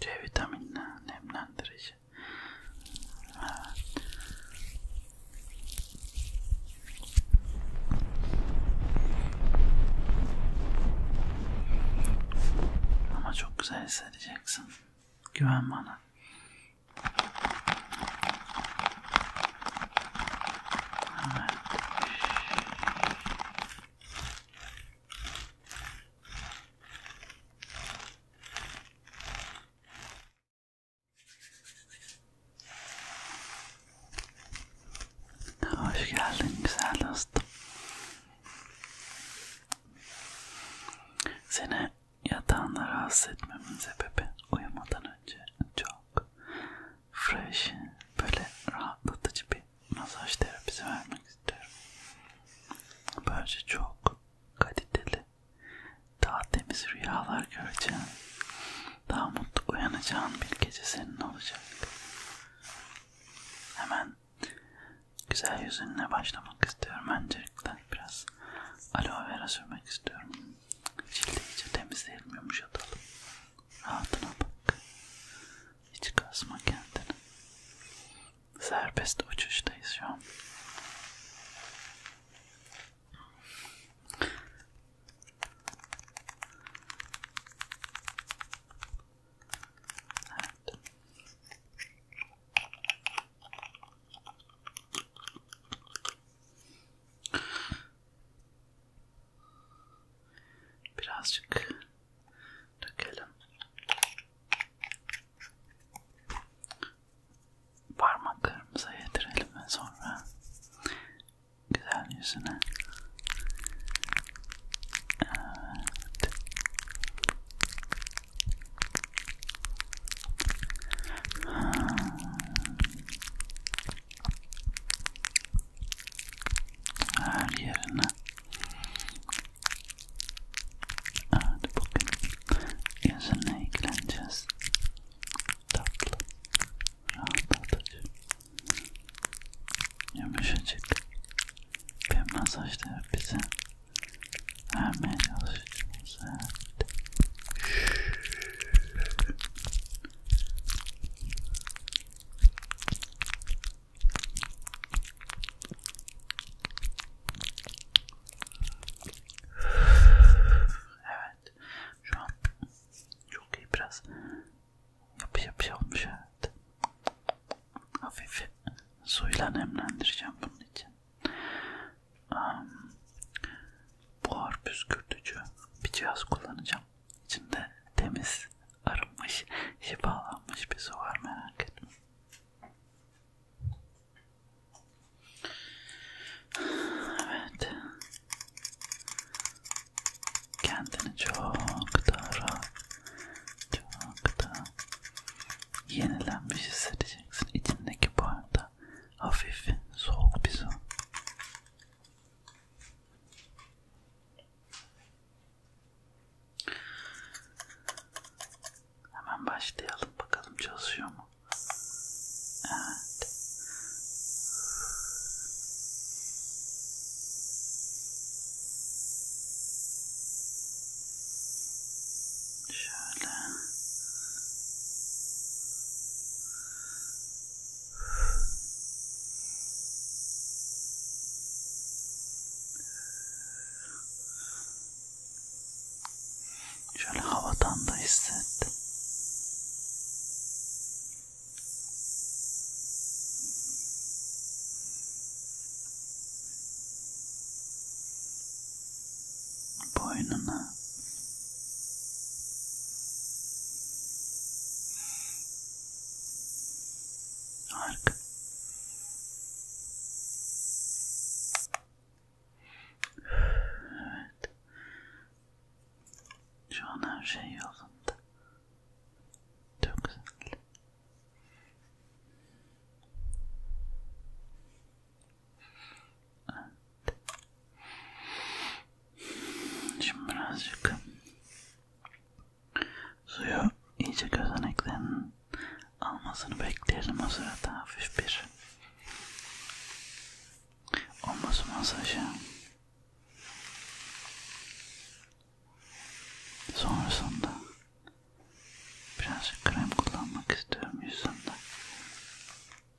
C vitaminle nemlendirici. Evet. Ama çok güzel hissedeceksin. Güven bana. Hoş geldin güzel dostum. Seni yatağında rahatsız etmemin sebebi uyumadan önce çok fresh, böyle rahatlatıcı bir masaj terapisi vermek istiyorum. Böylece çok kaliteli, daha temiz rüyalar göreceğin, daha mutlu uyanacağın bir gece senin olacak. Hemen güzel yüzünle başlamak istiyorum. Öncelikle biraz aloe vera sürmek istiyorum. Cildi iyice temizleyelim, yumuşatalım. Rahatına bak. Hiç kasma kendini. Serbest uçuştayız şu an. Evet. Birazcık dökelim. Parmaklarımıza yedirelim ve sonra güzel yüzüne. Evet. Her yerine. Evet bugün yüzünle ilgileneceğiz. Tatlı, rahatlatıcı, yumuşacık bir masaj terapisi vermeye çalışacağız. Evet. Evet. Şu an çok iyi biraz yapı yapı olmuş evet. Hafif suyla nemlendireceğim bunun için. Um, buhar püskürtücü bir cihaz kullanacağım. İçinde temiz, arınmış, şifalanmış bir su var merak etme. Evet. Kendini çok da rahat, çok da yenilenmiş hissedeceksin. İçindeki bu arada hafif, soğuk bir su. Hemen başlayalım bakalım çalışıyor mu? Evet. Şöyle. Şöyle havadan da hissettim. Boynuna Harika. Evet. Şu an her şey yolunda. Çok güzel. Evet. Şimdi birazcık suyu iyice gözeneklerin almasını bekleyelim o sırada hafif bir omuz masajı sonrasında birazcık krem kullanmak istiyorum yüzümde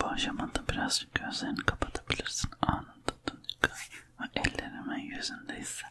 Bu aşamada birazcık gözlerini kapatabilirsin anında dönük ve ellerimi yüzünde hisset.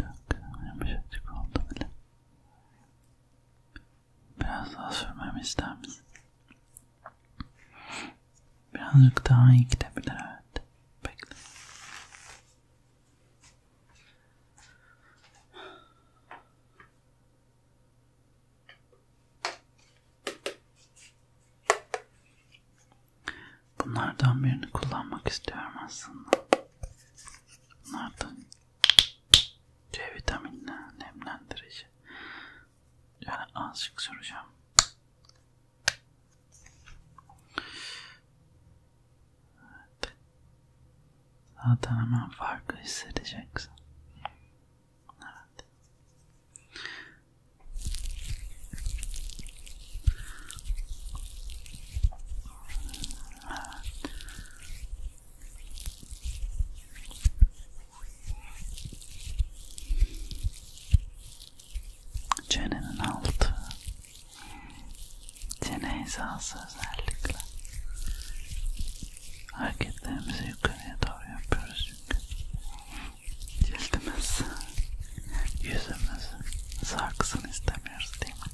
Çok yumuşacık oldu bile. Biraz daha sürmemi ister misin? Birazcık daha iyi gidebilir evet. Bekle. Bunlardan birini kullanmak istiyorum aslında. Bunlardan C vitaminle nemlendirici. Yani azıcık süreceğim. Evet. Zaten hemen farkı hissedeceksin. Evet. Evet. Çenenin altı. Çene hizası özellikle. Hareketlerimizi yukarıya doğru yapıyoruz çünkü cildimiz, yüzümüz sarksın istemiyoruz değil mi?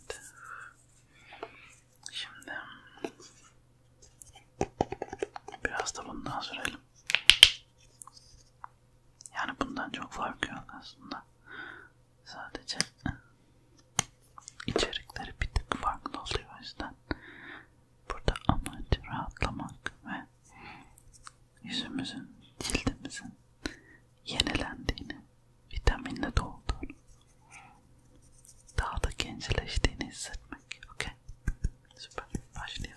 Evet. Şimdi biraz da bundan sürelim. Yani bundan çok farkı yok aslında. Sadece içerikleri bir tık farklı oluyor o yüzden. Burada amaç rahatlamak ve yüzümüzün, cildimizin yenilendiğini, vitaminle dolduğunu, daha da gençleştiğini hissetmek. Okay? Süper. Başlayalım.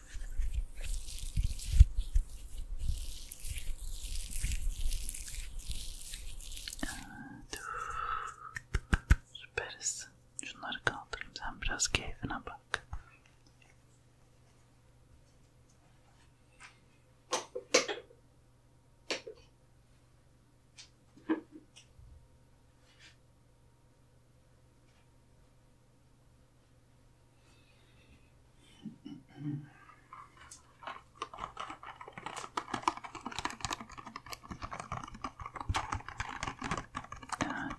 Evet. Süperiz. Şunları kaldırayım. Sen biraz keyfine bak. Evet,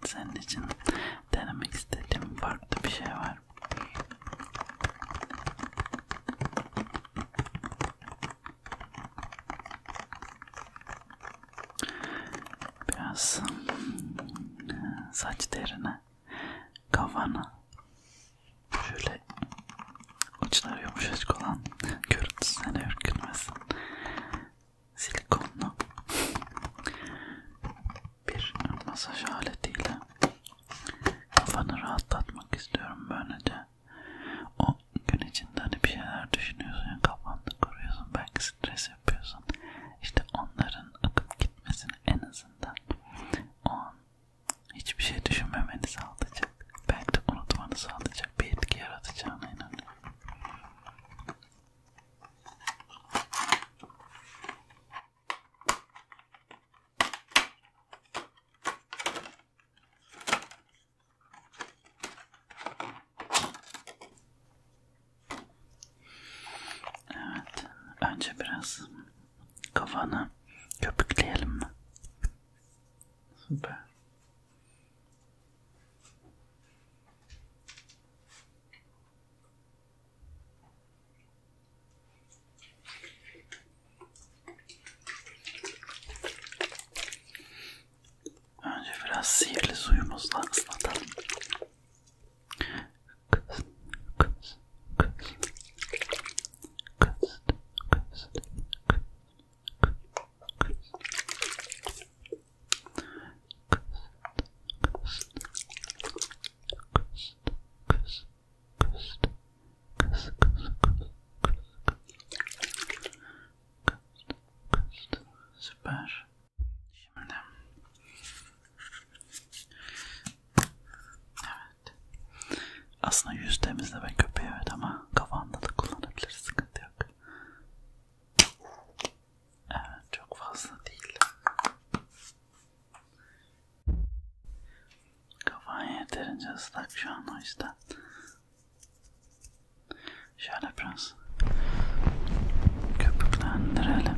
senin için denemek istediğim farklı bir şey var. Biraz saç derine, kafana şöyle uçları yumuşacık olan görüntüsü seni ürkünmesin. Silikonlu bir masaj aletiyle kafanı rahatlatmak istiyorum böylece. O gün içinde hani bir şeyler düşünüyorsun ya kafanda kuruyorsun belki stres yapıyorsun. İşte onların akıp gitmesini en azından o an hiçbir şey düşünmemeni sağlayacak. Belki de unutmanı sağlayacak bir etki yaratacağına inanıyorum. Evet. Önce biraz kafanı köpükleyelim mi? Süper. Önce biraz sihirli suyumuzla ıslatalım. Kız, kız, kız. Kız, kız, kız. Süper. Şimdi. Evet. Aslında yüz temizleme köpeği evet ama kafanda da kullanabilir. Sıkıntı yok. Evet çok fazla değil. Kafan yeterince ıslak şu an o yüzden Şöyle biraz köpüklendirelim.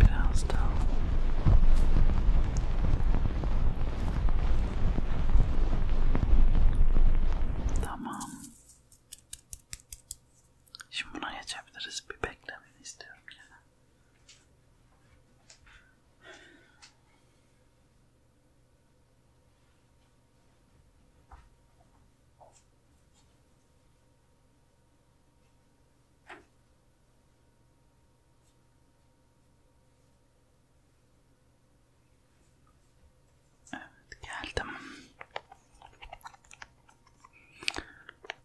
Biraz daha. Tamam. Şimdi buna geçebiliriz. Bir beklemeni istiyorum yine. Evet geldim.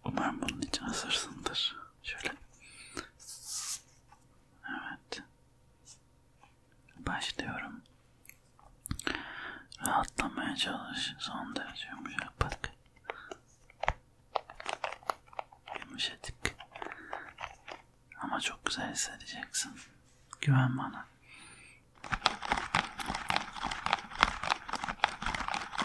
Umarım bunun için hazırsındır. Şöyle. Evet. Başlıyorum. Rahatlamaya çalış. Son derece yumuşak bak. Yumuşatık. Ama çok güzel hissedeceksin. Güven bana.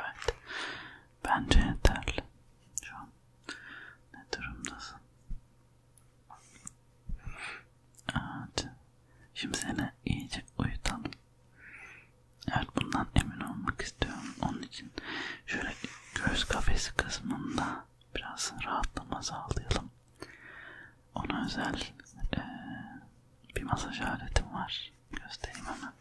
Evet. Bence yeterli. Şu an ne durumdasın? Evet. Şimdi seni iyice uyutalım. Evet bundan emin olmak istiyorum. Onun için şöyle göğüs kafesi kısmında biraz rahatlama sağlayalım ona özel e, bir masaj aletim var. Göstereyim hemen.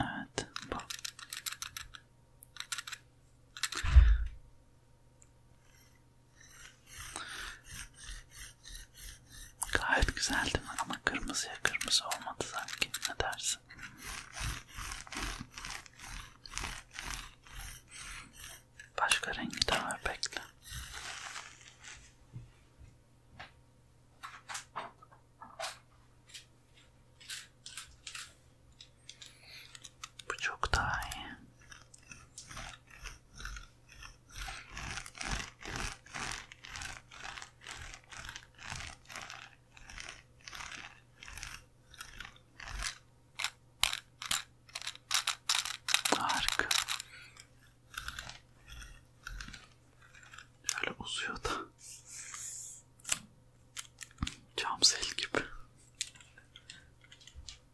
Evet, bu. Gayet güzel değil mi? Ama kırmızıya kırmızı olmadı sanki. Ne dersin? Başka rengi de var bekle. Bu çok daha iyi. Harika. Şöyle uzuyor da. Cam sel gibi.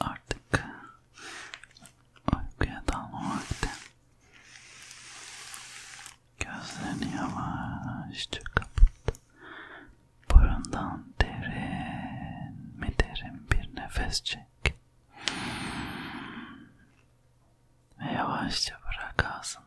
Artık uykuya dalma vakti. Gözlerini yavaşça kapat. Burundan derin mi derin bir nefes çek. Ve yavaşça bırak ağzından.